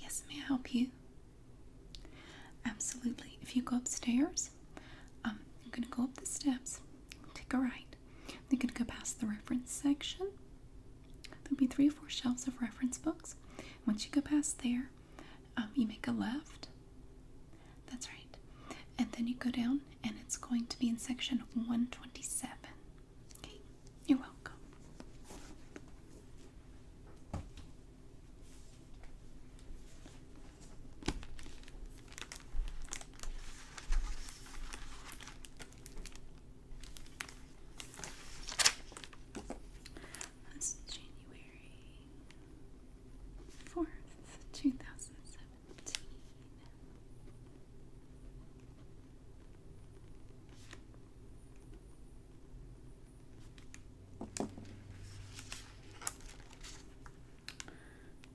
Yes, may I help you? Absolutely. If you go upstairs, I'm going to go up the steps, take a right. You're going to go past the reference section. There'll be three or four shelves of reference books. Once you go past there, um, you make a left that's right. And then you go down, and it's going to be in section 127. Okay, you're welcome. That's January 4th, 2007 seventeen.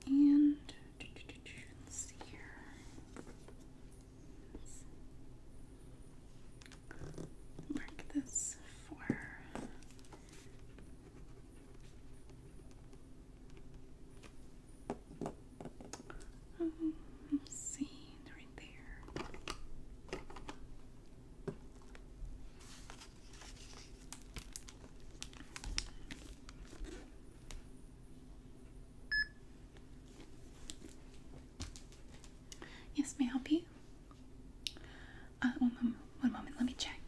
And see here. Mark this for um, let's right there. Yes, may I help you? Uh, one moment, let me check.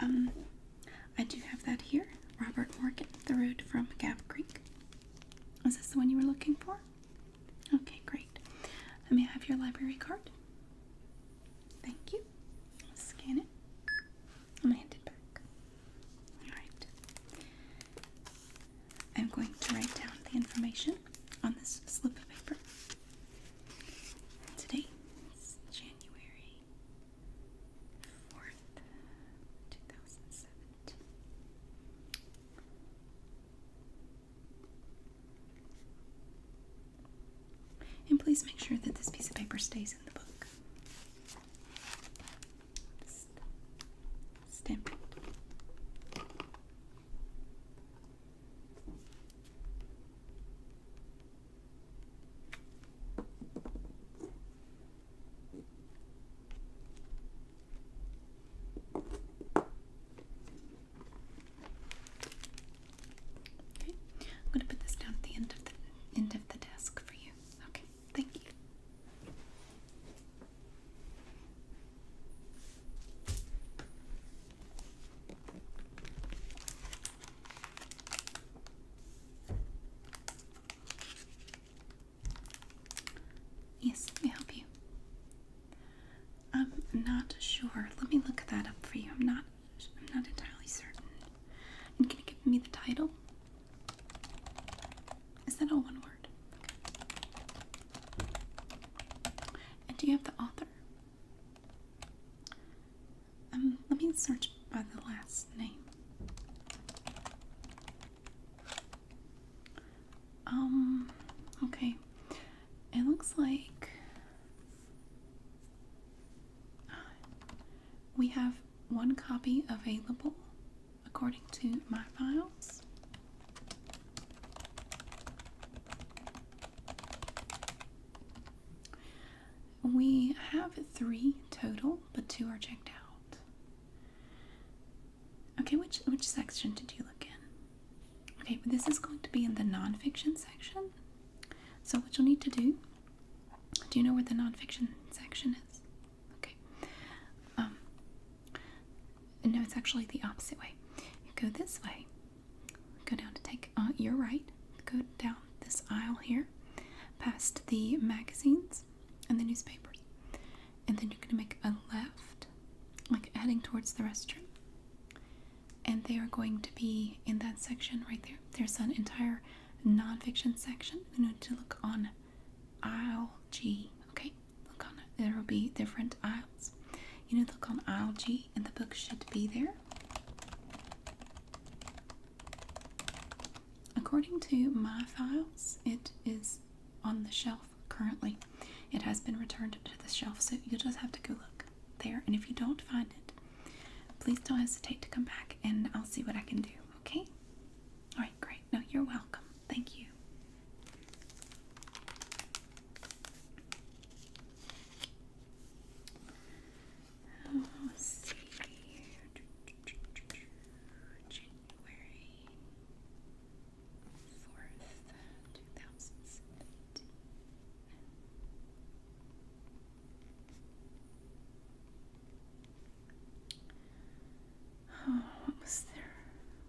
Um, I do have that here. Robert Morgan, the road from Gap Creek. Is this the one you were looking for? Okay, great. Let me have your library card. Thank you. scan it. I'm going it back. Alright. I'm going to write down the information on this slip of paper. Today is January 4th, 2017. And please make sure that this piece of paper stays in the book. Stamp I'm going to put this down at the end of the end of the desk for you. Okay. Thank you. Yes, let me help you. I'm not sure. Let me look that up for you. I'm not I'm not entirely certain. And can you give me the title? Is that all one word? And do you have the author? Um, let me search by the last name. Um, okay. It looks like we have one copy available according to my files. We have three total, but two are checked out. Okay, which which section did you look in? Okay, this is going to be in the nonfiction section. So what you'll need to do, do you know where the nonfiction section is? Okay. Um, no, it's actually the opposite way. go this way. Go down to take uh, your right. Go down this aisle here, past the magazines and the newspapers, and then you're going to make a left, like heading towards the restroom. And they are going to be in that section right there. There's an entire nonfiction section. You need to look on aisle G. Okay, Look on There will be different aisles. You know, look on aisle G and the book should be there. According to my files, it is on the shelf currently. It has been returned to the shelf, so you'll just have to go look there. And if you don't find it, please don't hesitate to come back and I'll see what I can do, okay? All right, great. No, you're welcome. Thank you. Oh, January 4th, 2017. Oh, what was their,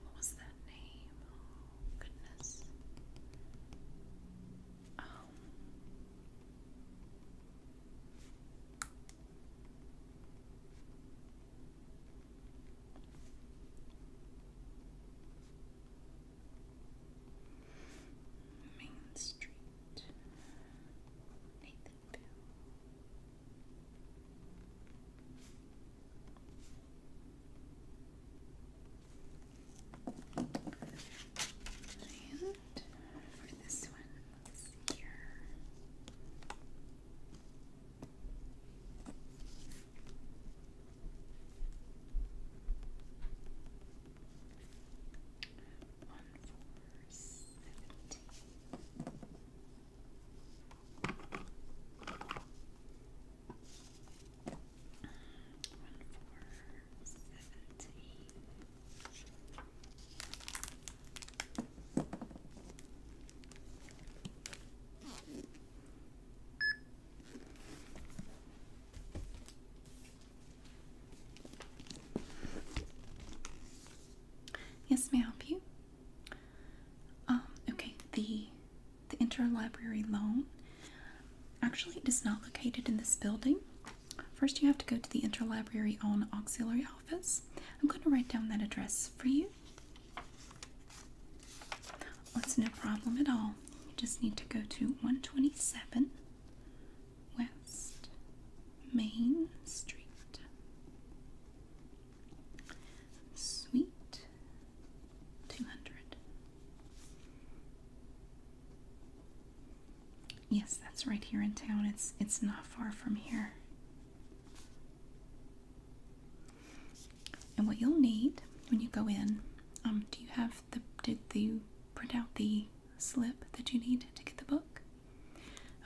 what was that name? goodness. Um, Main Street, Nathanville. And for this one, here. One Yes, may I help you? Oh, okay, the the interlibrary loan actually it is not located in this building. First, you have to go to the interlibrary on auxiliary office. I'm going to write down that address for you. That's oh, no problem at all. You just need to go to 127 West Main Street. Sweet 200. Yes, that's right here in town. It's it's not far from here. And what you'll need when you go in, um, do you have the did you print out the slip that you need to get the book?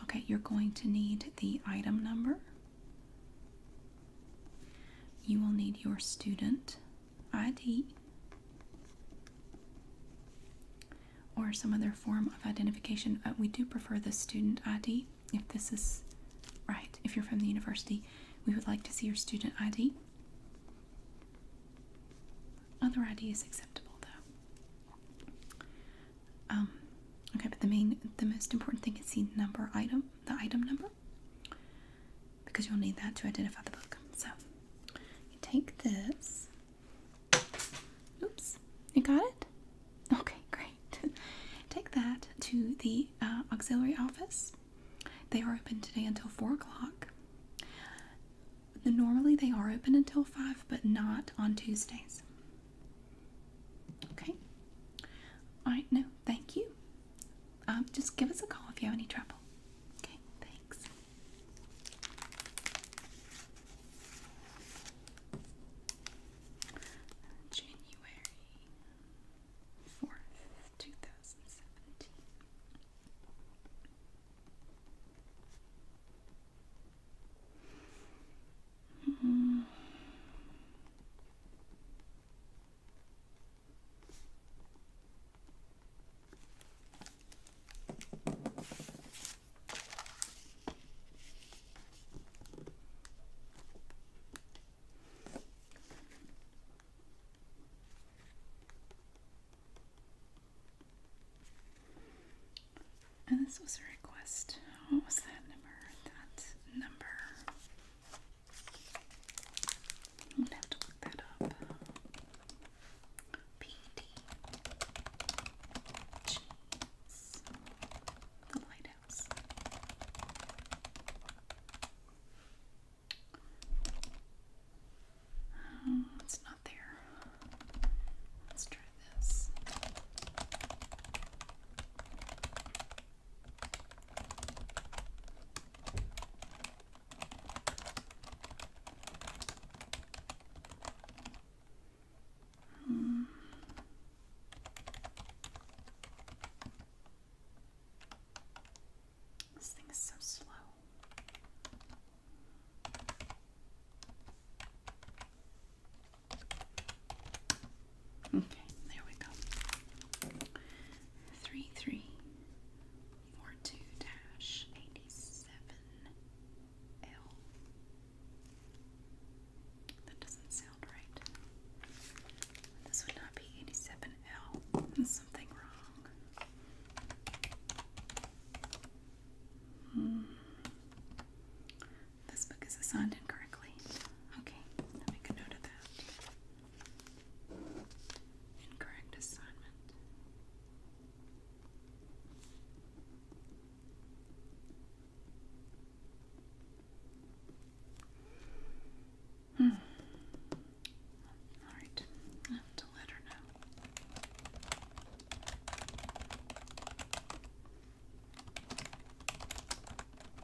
Okay, you're going to need the item number you will need your student ID or some other form of identification. we do prefer the student ID. If this is right, if you're from the university, we would like to see your student ID. Other ID is acceptable though. Um, okay, but the main, the most important thing is the number item the item number because you'll need that to identify the book. So you take this. Oops, you got it? Okay, great. take that to the uh, auxiliary office. They are open today until 4 o'clock. Normally they are open until 5, but not on Tuesdays. Okay. Alright, no, thank you. Um, just give us a call if you have any trouble. Okay, thanks. January 4th, 2017. Hmm. And this was a request. What was that number? That number I'm gonna have to look that up. PD Cheese. The lighthouse. Oh, it's not there. Let's try this. Hmm. This thing is so slow. Okay, there we go. 3342-87L. That doesn't sound right. This would not be 87L. something wrong. Hmm. This book is assigned incorrectly. Okay, I'll note that. Incorrect assignment. Hmm. All right, I have to let her know.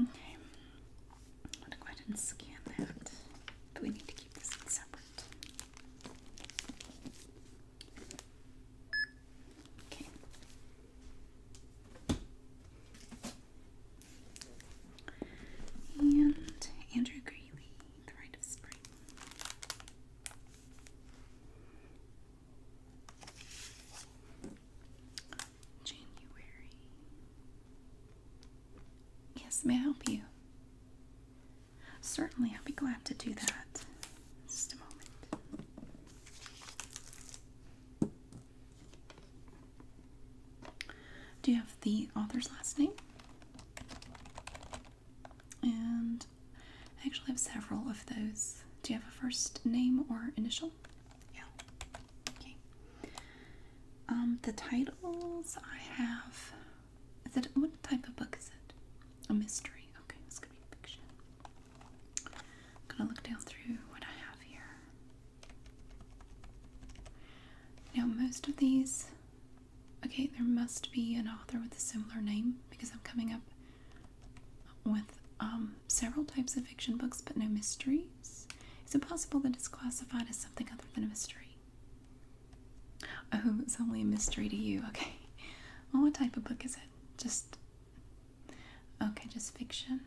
Okay, I'm going to go ahead and scan that, but we need to keep this separate. Okay. And Andrew Greeley, The Rite of Spring. January. Yes, may I help you? Certainly, I'll be glad to do that. Just a moment. Do you have the author's last name? And I actually have several of those. Do you have a first name or initial? Yeah. Okay. Um, the titles I have. Is it what type of book is it? A mystery. Okay, it's gonna be fiction. I'm gonna look down through what I have here. Now, most of these, okay, there must be an author with a similar name because I'm coming up with um, several types of fiction books but no mysteries. Is it possible that it's classified as something other than a mystery? Oh, it's only a mystery to you. Okay. Well, what type of book is it? Just. Okay, just fiction.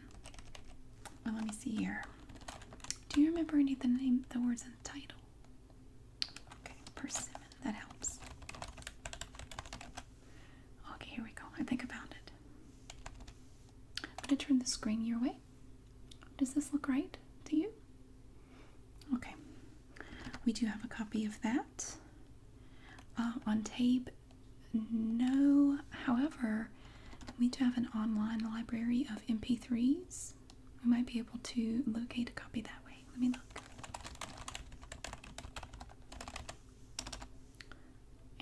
Well, let me see here. Do you remember any of the name the words and the title? Okay, persimmon, that helps. Okay, here we go. I think I found it. I'm gonna turn the screen your way. Does this look right to you? Okay. We do have a copy of that. Uh, on tape, no. However, we do have an online library of MP3s. We might be able to locate a copy that way. Let me look.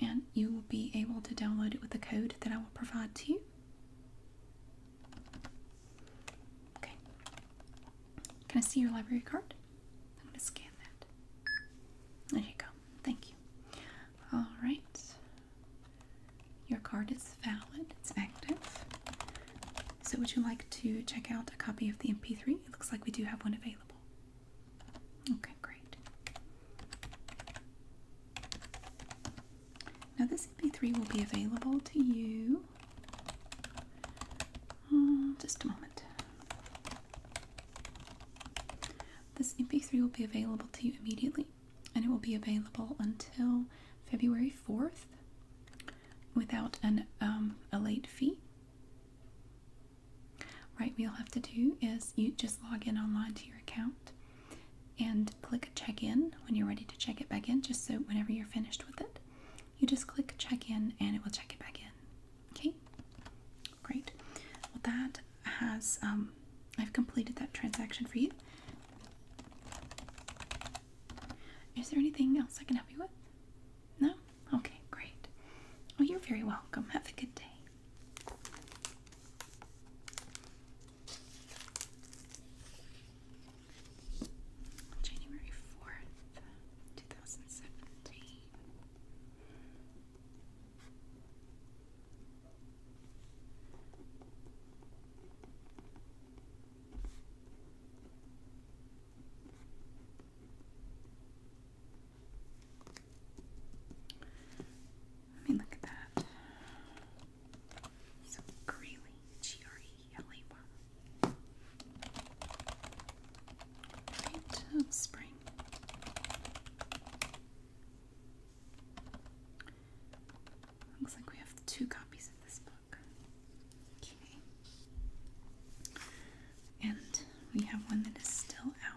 And you will be able to download it with the code that I will provide to you. Okay. Can I see your library card? I'm going to scan that. There you go. Thank you. All right. Your card is valid. It's active. So would you like to check out a copy of the MP3? It looks like we do have one available. Okay, great. Now this MP3 will be available to you. Uh, just a moment. This MP3 will be available to you immediately and it will be available until February 4th without an um, a late fee. Right, what you'll have to do is you just log in online to your account and click check in when you're ready to check it back in, just so whenever you're finished with it, you just click check in and it will check it back in. Okay, great. Well, that has, um, I've completed that transaction for you. Is there anything else I can help you with? No? Okay, great. Oh, you're very welcome. Have a good day. January 4th, 2017. I mean, look at that. So Right oh, spring. Looks like we have two copies of this book. Okay. And we have one that is still out.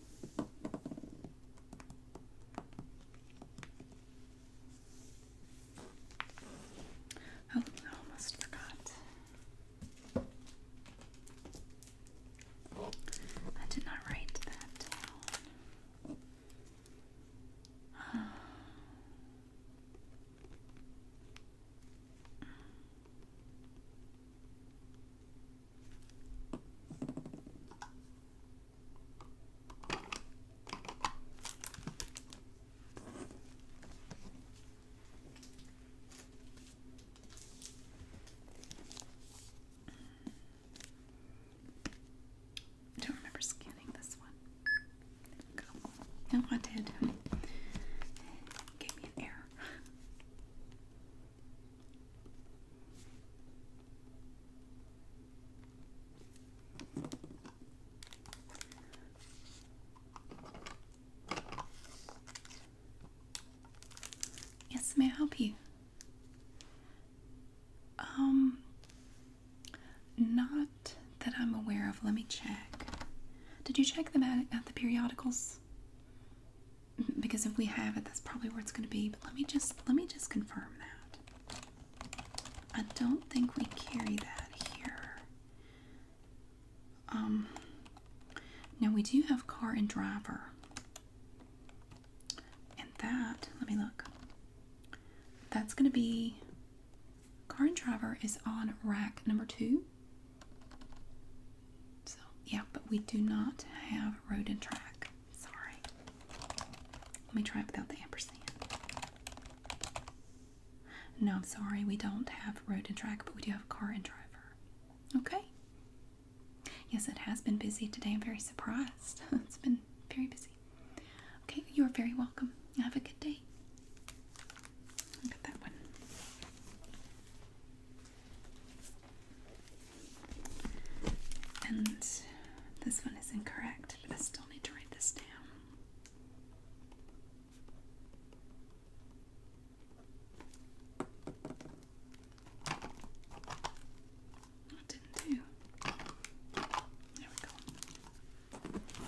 Oh, I almost forgot. I did not write that I don't remember scanning this one. No, I did. It me an error. Yes, may I help you? Um, not that I'm aware of. Let me check. Did you check them at, at the periodicals? Mm-hmm, because if we have it, that's probably where it's going to be. But let me just let me just confirm that. I don't think we carry that here. Um, now we do have car and driver. And that, let me look. That's going to be car and driver is on rack number two. So, yeah, but we do not have road and track. Sorry. Let me try it without the ampersand. No, I'm sorry, we don't have road and track, but we do have car and driver. Okay. Yes, it has been busy today. I'm very surprised. it's been very busy. Okay, you are very welcome. Have a good day. Look at that one. And this one is incorrect, I still need to write this down. I didn't do. There we go.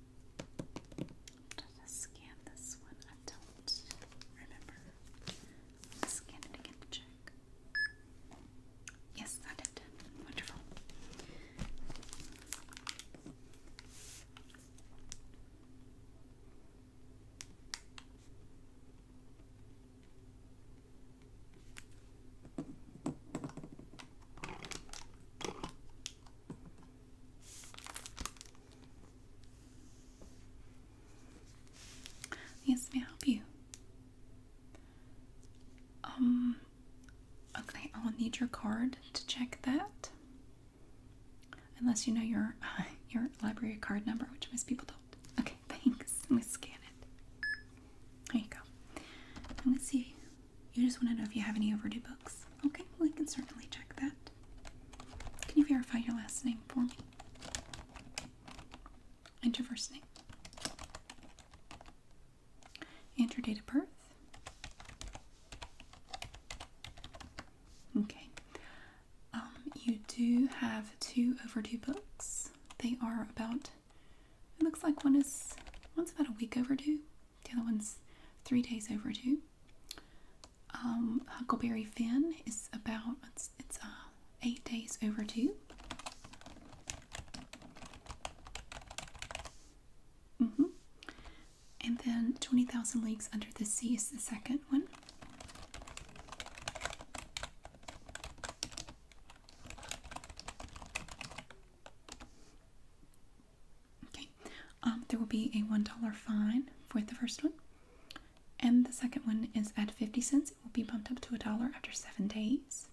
Did I scan this one? I don't remember. scan it again to check. Yes, I did. Wonderful. Yes, may I help you? Um, okay, I'll need your card to check that. Unless you know your your library card number, which most people don't. Okay, thanks. Let me scan it. There you go. Let me see you just want to know if you have any overdue books. Okay, well, I can certainly check that. Can you verify your last name for me? And your name. And your date of birth. Okay. Um, you do have two overdue books. They are about, it looks like one is, one's about a week overdue the other one's three days overdue. Um, Huckleberry Finn is about it's, it's uh, eight days overdue. Mm -hmm. And then 20,000 Leagues Under the Sea is the second one. Okay, um, there will be a $1 fine for the first one, and the second one is at 50 cents. It will be bumped up to a dollar after seven days.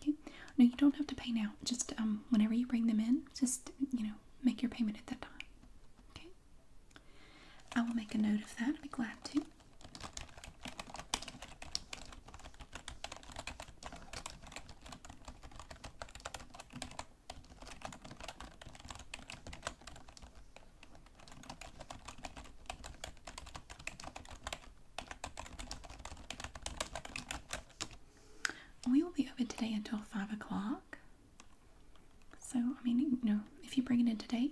Okay, no, you don't have to pay now, just um, whenever you bring them in, just you know, make your payment at that time. Okay, I will make a note of that, I'll be glad to. We will be open today until five o'clock. So I mean, you know, if you bring it in today,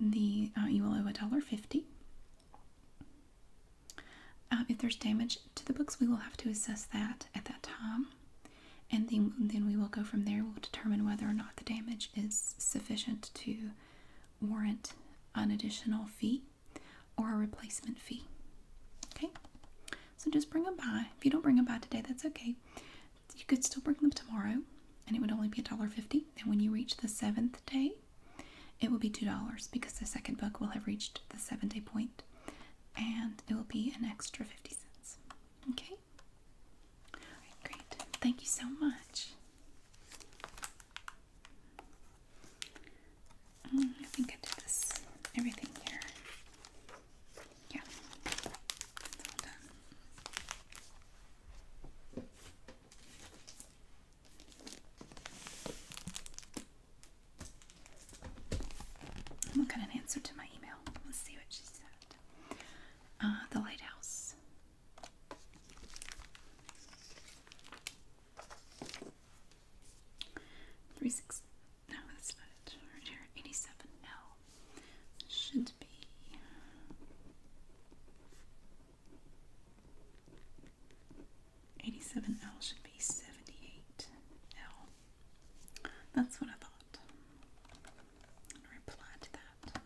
the uh, you will owe a dollar fifty. Um, if there's damage to the books, we will have to assess that at that time, and then we will go from there. We'll determine whether or not the damage is sufficient to warrant an additional fee or a replacement fee. Okay, so just bring them by. If you don't bring them by today, that's okay. You could still bring them tomorrow, and it would only be $1.50. And when you reach the seventh day, it will be $2 because the second book will have reached the seventh day point and it will be an extra 50 cents. Okay? great. Thank you so much. Mm, I think I did this, everything here. Yeah, done. I'm looking at an answer to my email. Let's see what she said. Uh, the lighthouse. Three six. No, that's not Right here, eighty-seven. L should be. 87L should be 78L. That's what I thought. reply to that.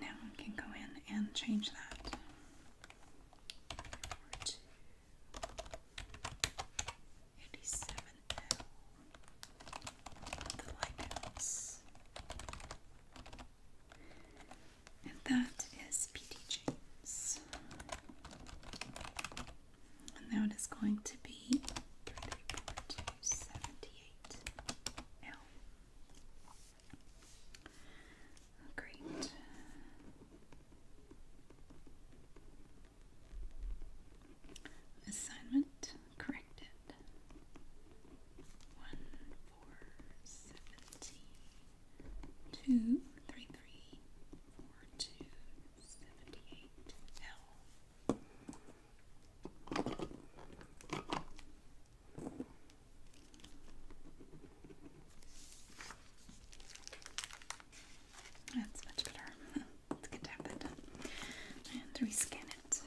Now I can go in and change that. Eighty-seven the lighthouse, and that is P.D. James. And now it is going to be three three four two seventy-eight L. Great. Assignment corrected. One, four, seventy, two, three, three, four, two, seventy-eight L. That's much better. good to have that done. And rescan it.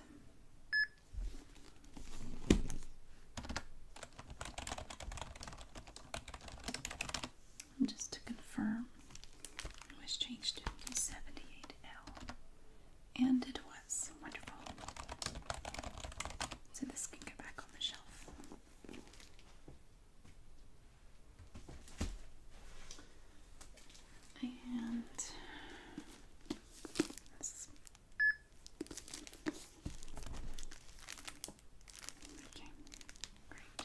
just to confirm, it was changed to 78L. And it was wonderful. So this can go back on the shelf. And Okay, great.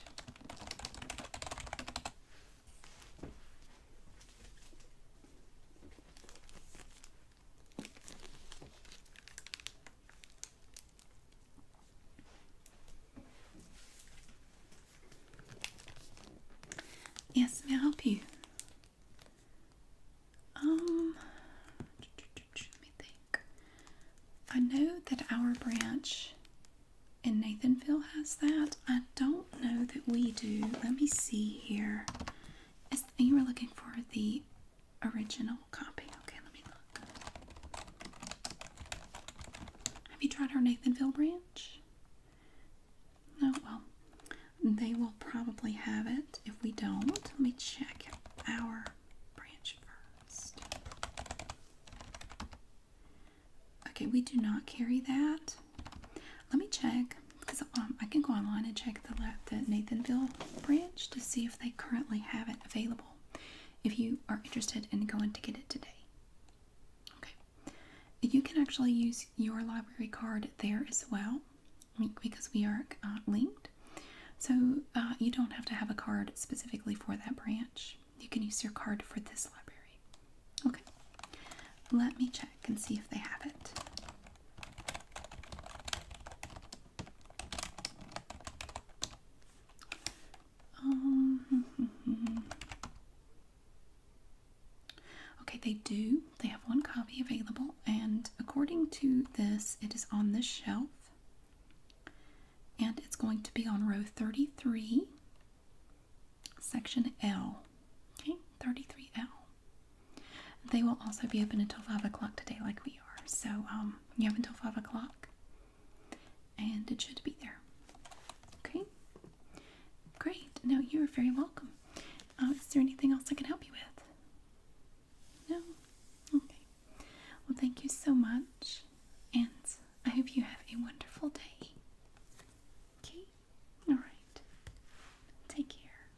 Yes, may I help you? Um, let me think. I know that our branch in Nathanville has that. I don't know that we do. Let me see here. Is, you were looking for the original copy. Okay, let me look. Have you tried our Nathanville branch? No, well, they will probably have it if we don't. Let me check our branch first. Okay, we do not carry that. Let me check because um, I can go online and check the, Nathanville branch to see if they currently have it available. If you are interested in going to get it today, okay, you can actually use your library card there as well because we are uh, linked. So uh, you don't have to have a card specifically for that branch. You can use your card for this library. Okay, let me check and see if they have it. Oh. okay, they do. They have one copy available, and according to this, it is on this shelf, and it's going to be on row 33, section L. Okay, 33L. They will also be open until 5 o'clock today, like we are. So um, you have until 5 o'clock, and it should be there. Okay? Great. No, you're very welcome. Uh, is there anything else I can help you with? No? Okay. Well, thank you so much, and I hope you have a wonderful day. Okay? Alright. Take care.